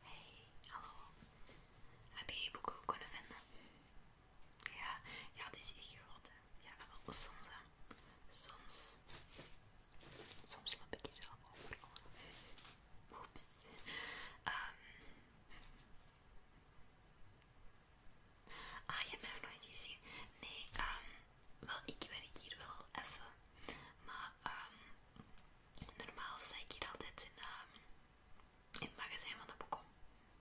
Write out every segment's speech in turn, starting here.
Hey, hallo. Heb je je boek ook kunnen vinden? Ja, ja, het is echt geworden. Ja, wel soms. Hè. Soms. Soms loop ik hier zelf over. Oeps. Ehm, Ah, je hebt mij nog nooit gezien. Nee, um, wel, ik werk hier wel even. Maar ehm, normaal sta ik hier altijd in, ehm, het magazijn van de boeken.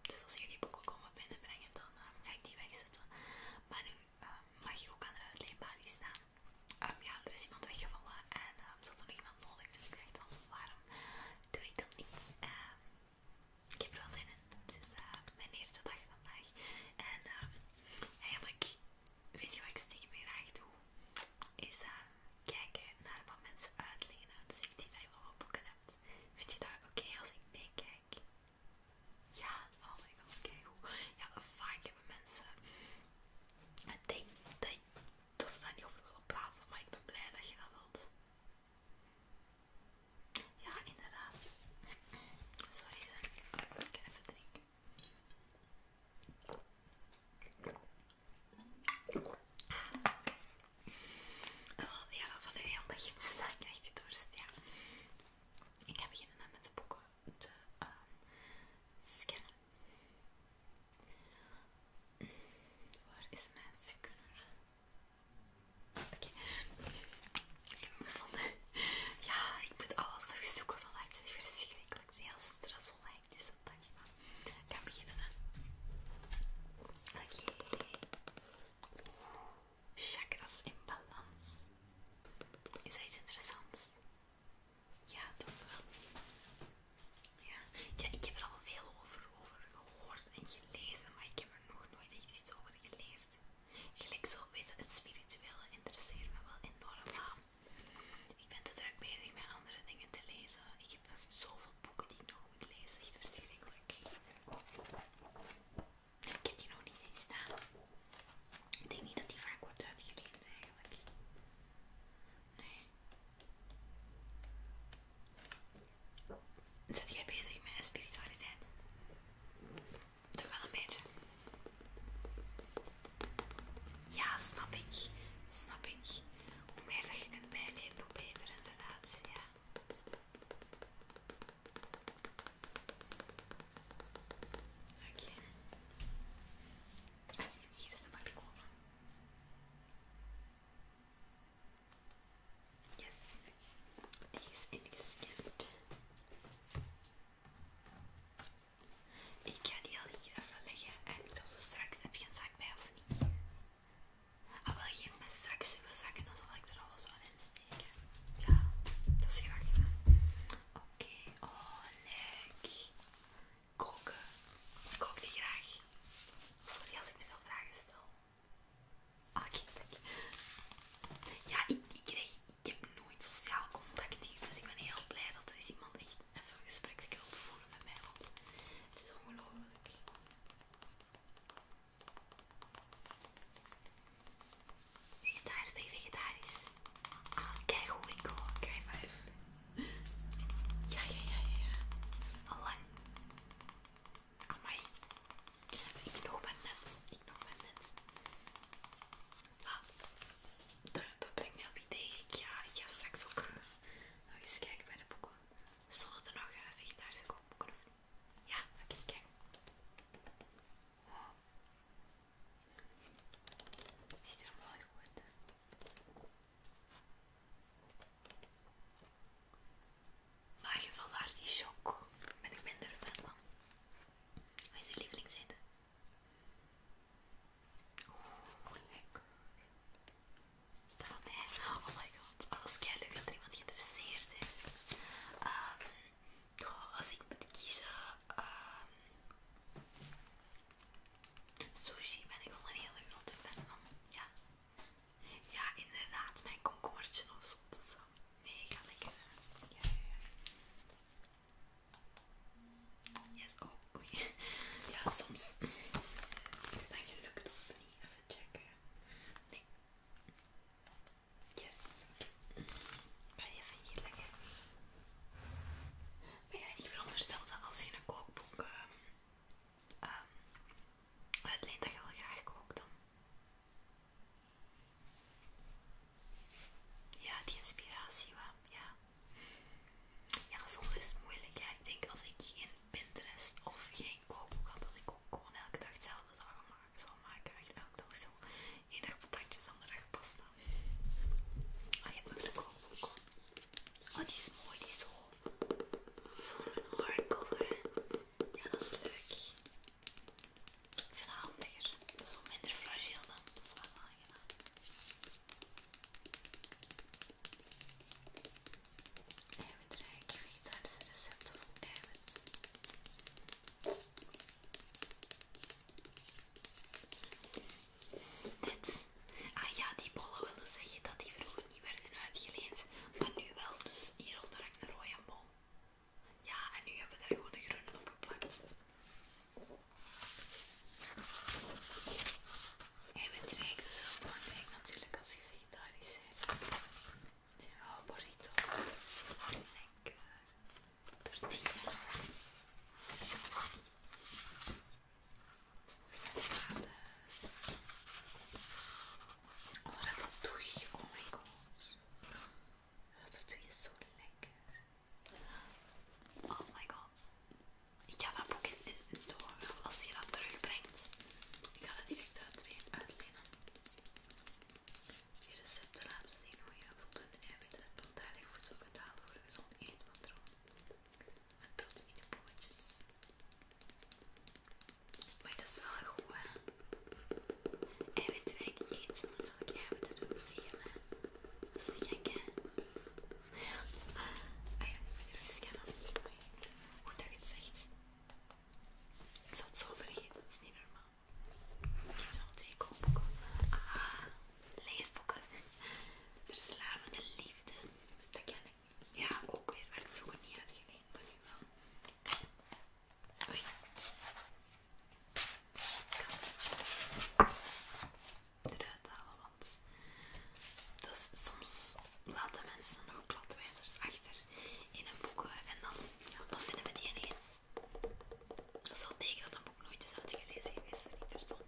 Dus als jullie boeken komen binnenbrengen, dan ga ik die wegzetten. Maar nu mag ik ook aan de uitleenbalie staan. ja, er is iemand weggevallen en dat er zat nog iemand nodig. Dus ik dacht dan, waarom doe ik dat niet? eh ik heb er wel zin in. Het is eh, mijn eerste dag vandaag. En eh, eigenlijk, weet je wat ik stiekem graag doe? Is eh, kijken naar wat mensen uitlenen. Dus ik zie dat je wel boeken hebt. Vind je dat oké als ik meekijk? Ja, oh my god, kijk hoe. Ja, vaak hebben mensen het ding dat, ze daar niet over willen praten, maar ik ben blij dat je dat wilt. Ja, inderdaad. Sorry, zeg. Ik even drinken. Oh, ja, van een heel begin ik krijg die dorst, ja. Ik ga beginnen met de boeken te ehm, scannen. Waar is mijn scanner? Oké. Ik heb hem gevonden. Ja, ik moet alles nog zoeken van Het is verschrikkelijk. Het is heel stressvol eigenlijk dag. Ik ga beginnen. Oké. Okay. Chakras in balans. Is hij iets interessants? Ja, toch wel. Ja. ja, ik heb er al veel over, over gehoord en gelezen, maar ik heb er nog nooit echt iets over geleerd. Gelijk zo weten, het spirituele interesseer me wel enorm aan. Ik ben te druk bezig met andere dingen te lezen. Ik heb nog zoveel boeken die ik nog moet lezen. Echt verschrikkelijk. Ik heb die nog niet zien staan. Ik denk niet dat die vaak wordt uitgeleend eigenlijk. Nee. Zit jij bezig met spiritualiteit? Toch wel een beetje. Ja, snap ik. Snap ik. Hoe meer dat je kunt bijleren, hoe beter inderdaad. Ja. Oké. Ah, hier is de balkon. Yes, die is ingestipt. Ik ga die al hier even leggen en ik zal ze straks. Heb je een zak bij of niet? Oh, ah, wil je me straks uw zak dan zal ik er alles wel in steken. Ja, dat is graag gedaan. Oké, oh leuk. Koken. Ik kook die graag. Sorry als ik te veel vragen stel. Ah, ja, ik, ik, kreeg, ik heb nooit sociaal contact hier, dus ik ben heel blij dat er is iemand echt even een gesprek wilt voeren met mij, want het is ongelooflijk. Vegetarisch, ben je vegetarisch? Ah, kijk hoe ik hoor, kijk maar Ja, ja, ja, ja, ja. Amai. Ik nog met net. Ik nog met net. Ah, dat, dat brengt me op idee. Ik ga, ik ga straks ook nog eens kijken bij de boeken. Zullen er nog uh, eh, vegetarische kookboeken of Ja, oké, kijk. Het ziet er goed uit. Maar je valt die shock. ben ik minder fan van. Wat is je lievelingseten? Oeh, lekker. Dat van mij. Oh my god. Alles kei leuk dat er iemand geïnteresseerd is. Ehm, als ik moet kiezen. Ehm, sushi ben ik al een hele grote fan van. Ja. Ja, inderdaad, mijn komkommertje of zottesam. Mega lekker. Ja, ja, ja. Yes, oh, Ja, soms is dat gelukt of niet. Even checken. Nee. Yes. Okay. Ga je even hier lekker. Maar ja, ik veronderstel dat als je een kookboek ehm, um, het leent dat je wel graag ook dan. Ja, die inspiratie Waar ja. Ja, soms is het moeilijk. Ik denk als ik geen Pinterest of geen kookboek had, dat ik ook gewoon elke dag hetzelfde zou maken. Zou maken. Echt elke dag zo. Eén dag patatjes, andere dag pasta. Maar ah, je hebt nog een kookboek. Oh, die is mooi, die zo zo'n een hardcover. Ja, dat is leuk. Ik vind het handiger. Zo minder fragiel dan. Dat is wel aangenaam. Eiwitrijk, vegetarische recepten vol eiwit. Dit Ah ja, die bollen willen zeggen dat die vroeger niet werden uitgeleend, maar nu wel. Dus hieronder hangt een rode bol. Ja, en nu hebben we daar gewoon de groene op geplakt. En we rijk is heel belangrijk natuurlijk als je vegetarisch Oh, burritos. Lekker. Tortillas dat Oh, je, Oh my god. dat doe is zo lekker. Oh my god. Ik ga dat boek in, door. Als je dat terugbrengt, ik ga dat direct uitlenen. Je de laatste ding, hoe je voldoende eiwitten hebt om daarin voedsel betaald voor zo'n eten van rond. Met proteïne bolletjes. Maar dat is wel goed, hè? Eiwitrijk eten, want eiwitten doen veel, hè? Dat is gek, hè? Ja. Ah ja, ik ben rustig aan het Hoe dat je het zegt. Ik zal het zo vergeten, dat is niet normaal. Ik heb er al twee koopboeken. Ah, leesboeken. Verslavende liefde. Dat ken ik. Ja, ook weer. Werd vroeger niet uitgeleend, van nu wel. Oei. Ik eruit halen, want dat soms laten mensen nog platwijzers achter in een boeken en dan, vinden we die ineens. Dat is wel teken dat een boek nooit is uitgelezen geweest niet die persoon.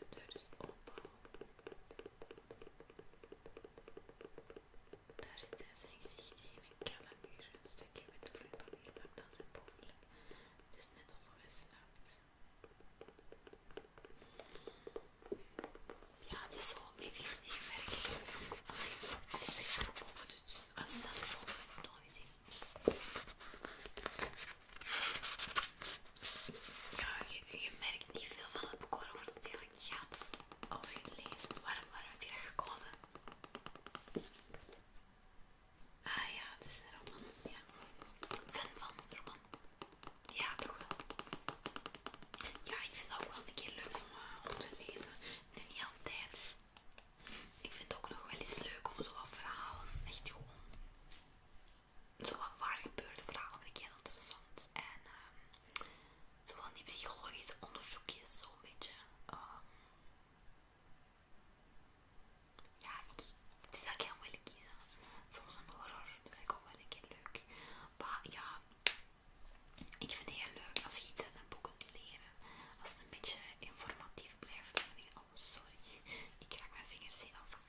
de deur is open. Daar zit hij zijn gezicht in een kale Een stukje met vloeipapier plakt aan zijn bovenlip. is net alsof hij slaapt. Ja, het is zo onmiddellijk niet gemerkt. Als hij als je open doet, als hij dan open dan is hij ja, je, merkt niet veel van het bekoren, voor het eigenlijk gaat als je het leest. Waarom, waarom heb je dat gekozen? Ah ja, het is een roman. Ja. Fan van een roman. Ja, toch wel. Ja, ik vind het ook wel een keer leuk om, eh, om te lezen. Nu niet altijd. Ik vind het ook nog wel eens leuk om zo wat verhalen echt gewoon zo wat waar gebeurde verhalen vind ik heel interessant. En ehm zo van die psychologische onderzoekjes, zo'n beetje. Ehm, ja, ik, het is eigenlijk wel moeilijk kiezen. Soms een horror, dat vind ik ook wel een keer leuk. Maar ja, ik vind het heel leuk als je iets uit een boek kunt leren. Als het een beetje informatief blijft, dan oh sorry, ik raak mijn vingers heel vaak.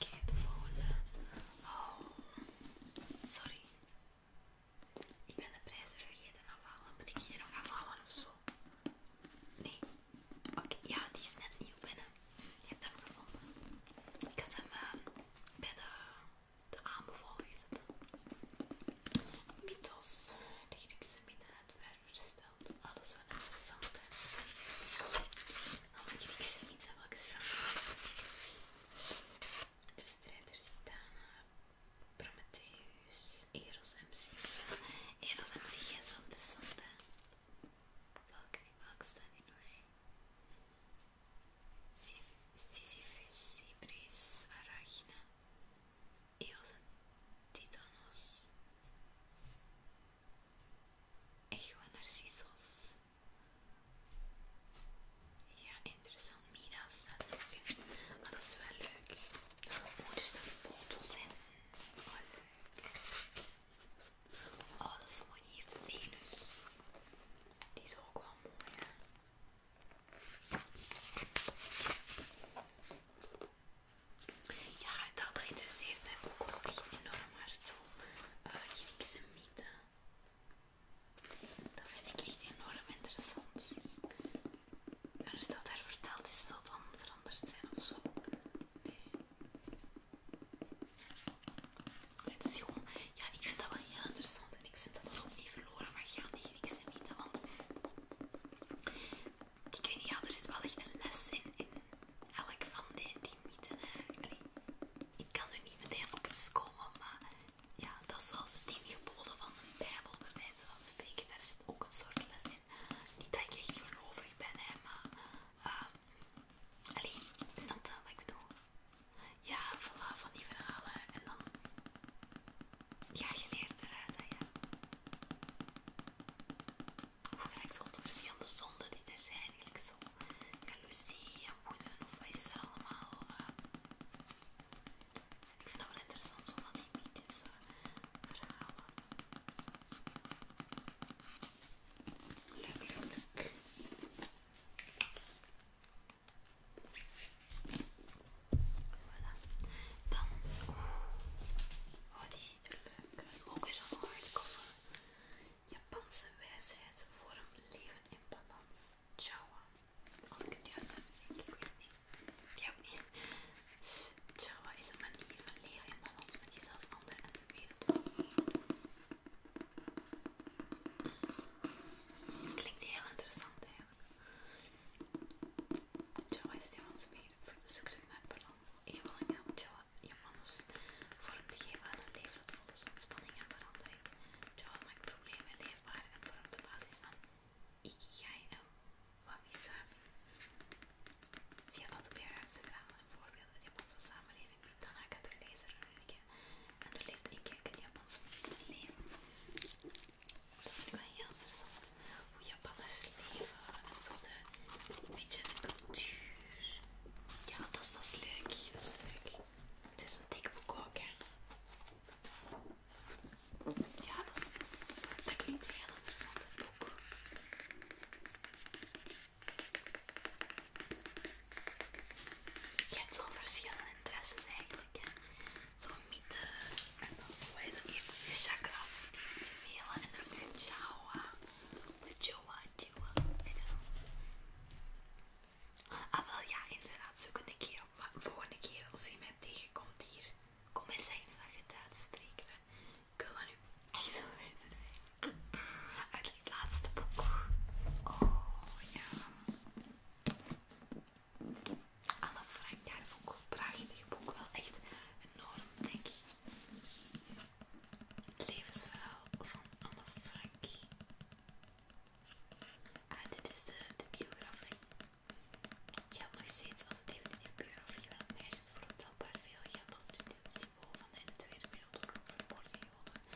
Oké, de volgende. Oh, sorry. Ik ben de prijzen vergeten afhalen. Moet ik die nog afhalen of zo? Nee. Oké, ja, die is net nieuw binnen. Je hebt hem gevonden. Ik had hem ehm, bij de, de aanbevolen gezet. Mythos, de Griekse minnaar, uitverster alles wel interessant. Hè? Alle Griekse iets hebben we gezamenlijk. De strijders Titana, Prometheus, Eros en Psyche. Eros en Psyche is wel interessant, hè? Welke, welke staan hier nog? Sisyphus, Ibris, Arachne, Eos en Titanos, Echo en Narcisos. Ja, interessant. Mina staat er ook dat is wel leuk. Oh, er foto's in. Oh, leuk. Oh, dat is mooi Venus. Die is ook wel mooi, hè. Ja, dat, interesseert mij ook echt enorm Maar Zo eh, Griekse mythe Dat vind ik echt enorm interessant. als dat daar verteld is, zal dan veranderd zijn of zo. Nee. Het is gewoon, ja, ik vind dat wel heel interessant en ik vind dat dat ook niet verloren mag gaan, die Griekse mythe. Ik weet niet, ja, er zit wel echt een les in, in elk van die, die mythen. ik kan er niet meteen op iets komen, maar ja, dat is zoals de tien geboden van de Bijbel, bij wijze van spreken. Daar zit ook een soort les in. Niet dat ik echt gelovig ben, hè, maar. Ehm, alleen, is dat eh, wat ik bedoel? Ja, voilà, van die verhalen. En dan ja, je leert eruit, hè, ja. Of gelijk zo de verschillende zonden die er zijn. eigenlijk zo jaloezie woede of wat is er allemaal. Eh. ik vind dat wel interessant, zo dat die mythische verhalen. Leuk, leuk, leuk. Voilà. Dan. Oh, die ziet er leuk uit. Ook weer een hardcover. Japanse wijsheid voor een leven in balans. Chawa. Als ik het juist uitspreek, ik weet het niet. Die ook niet. Chawa is een manier van leven in balans met jezelf, anderen en de wereld. Klinkt heel interessant, hè? eigenlijk. Java is het Japanse begrip voor de zoektocht naar balans. Ik wil een om Java Japanners vorm te geven aan een leven dat vol is van spanning en verandering. Java maakt problemen leefbaar en vormt de basis van ik, jij en wabi samen. Via wat meer verhalen en voorbeelden de Japanse samenleving biedt Tanaka de lezer een en doorleeft inkijk het Japanse leven dat vind ik wel heel interessant hoe Japaners leven en zo de, een beetje de cultuur. Ja, dat is, dat is leuk. Dat is leuk. Dus een dik boek ook, hè. Ja, dat, klinkt een heel interessant een boek. Je hebt wel verschillende interesses eigenlijk. Hè is dormida é coisa e chakras mila e na chawa chawa chawa Ah wel ja, inderdaad, zo zoekende keer. Maar volgende keer als hij mij tegenkomt hier, kom eens zijn dat je het uitspreekt. Ik wil nu echt wel weten. Uit het laatste boek. Oh ja. Anne Frank, ook een Prachtig boek. Wel echt enorm dik. Het levensverhaal van Anne Frank. Ah, dit is de, biografie. biografie. Geldt nog steeds als het definitieve biografie van een meisje voor ontelbaar veel geld als studentensymbool van de Tweede Wereldoorlog vermoord en gewonnen.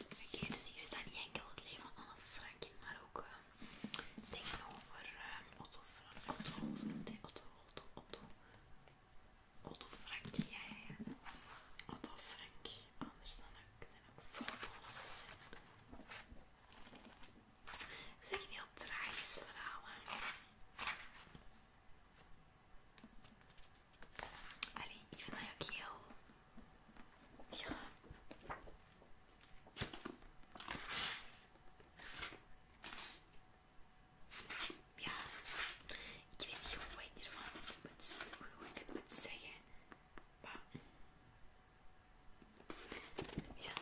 Oké, dus hier staat niet enkel het leven van Anne Frank in, maar ook uh, eh, dingen over uh, eh, Otto Frank. Otto, Otto, Otto, Otto, Otto, Otto Frank, ja, ja, ja. Otto Frank, anders dan ook, zijn ook foto's. En... Het is eigenlijk een heel tragisch verhaal. Hè? Allee, ik vind dat ook heel... Ja. Ja, ik weet niet hoe ik hiervan moet, moet, hoe ik het moet zeggen. Maar ja.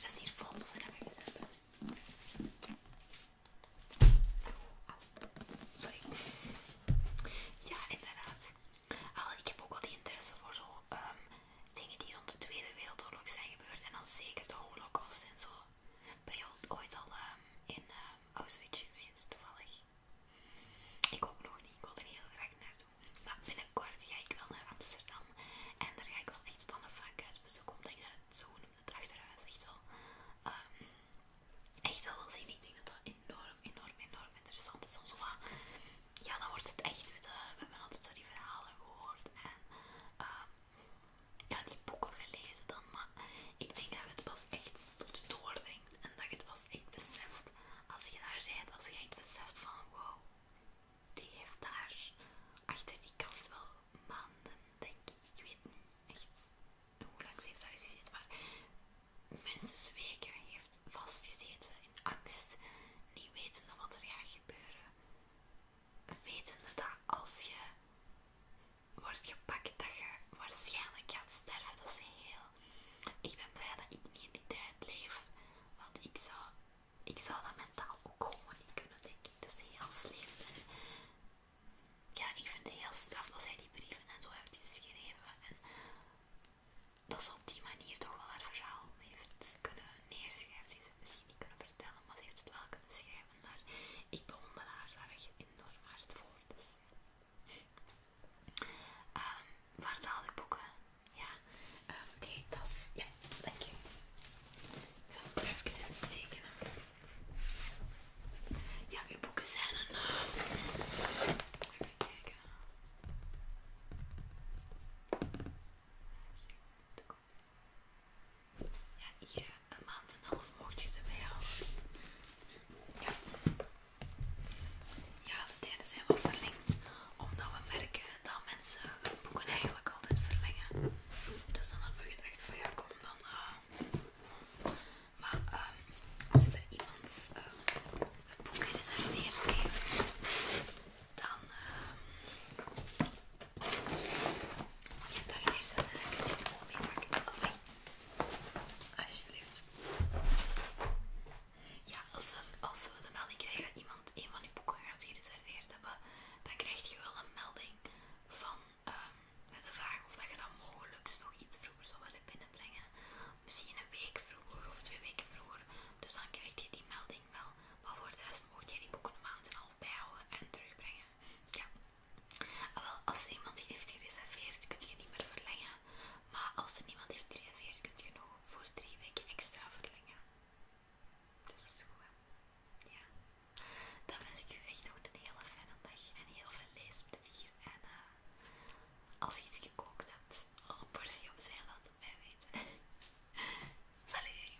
dat is hier foto's en heb Ja, inderdaad. ik heb ook wel die interesse voor zo ehm, dingen die rond de Tweede Wereldoorlog zijn gebeurd. En dan zeker de holocaust en zo. Ben je ooit al ehm, in ehm, Auschwitz geweest, toevallig? Ik ook nog niet, ik wil er heel graag naartoe. Maar binnenkort ga ik wel naar Amsterdam. En daar ga ik wel echt van een vakhuis bezoeken, omdat ik dat zo noem, het achterhuis echt wel, ehm, echt wel wil zien. Ik denk dat dat enorm, enorm, enorm interessant is. Soms ja, dan wordt het echt, we, eh, we hebben altijd zo die verhalen gehoord en ehm, ja, die boeken gelezen dan, ik denk dat het pas echt tot doordringt en dat je het pas echt beseft als je daar zijt, als je echt beseft van wow, die heeft daar achter die kast wel maanden, denk ik. Ik weet niet echt hoe lang ze heeft daar gezeten, maar minstens weken heeft vastgezeten in angst, niet wetende wat er gaat gebeuren. Wetende dat als je wordt gepakt, dat je waarschijnlijk gaat sterven. Dat is heel... Ik ben blij dat ik niet in die tijd leef, want ik zou, ik zou dat mentaal ook gewoon niet kunnen, denk ik. Dat is heel slecht. ja, ik vind het heel straf dat zij die brieven en zo heeft geschreven. En dat ze op die manier toch wel haar verhaal heeft kunnen neerschrijven. Ze heeft het misschien niet kunnen vertellen, maar ze heeft het wel kunnen schrijven. Daar, ik bewonder haar daar echt enorm hard voor. Dus- Um, waar haal ik boeken? Ja, um, die tas. Ja, dank je. Ik zal het er even in Ja, uw boeken zijn een. Even kijken. Ja, hier een maand en half mocht je ze Ja. ja, de tijden zijn wat verlengd, omdat we merken dat mensen hun boeken eigenlijk altijd verlengen. Dus dan hebben we gedacht van ja, kom dan. Eh. Maar ehm als er iemand uh, het boek meer heeft, dan uh, ehm, je hebt daar een en dan kun je het gewoon mee Alsjeblieft. Ja, als we, als we de melding krijgen dat iemand een van die boeken gaat gereserveerd hebben, dan krijg je wel een melding van ehm, met de vraag of dat je dan mogelijk nog iets vroeger zou willen binnenbrengen. Misschien een week vroeger of twee weken vroeger. Dus dan krijg je die melding wel. Maar voor de rest mocht je die boeken een maand en een half bijhouden en terugbrengen. Ja, Ah, wel, als er iemand heeft gereserveerd, kun je niet meer verlengen. Maar als er niemand heeft gereserveerd, kunt kun je nog voor drie weken extra verlengen. Dus dat is goed, Ja. Dan wens ik je echt nog een hele fijne dag en heel veel leesplezier. En eh, als je iets gekookt hebt, al een portie opzij laat het mij weten. Salut!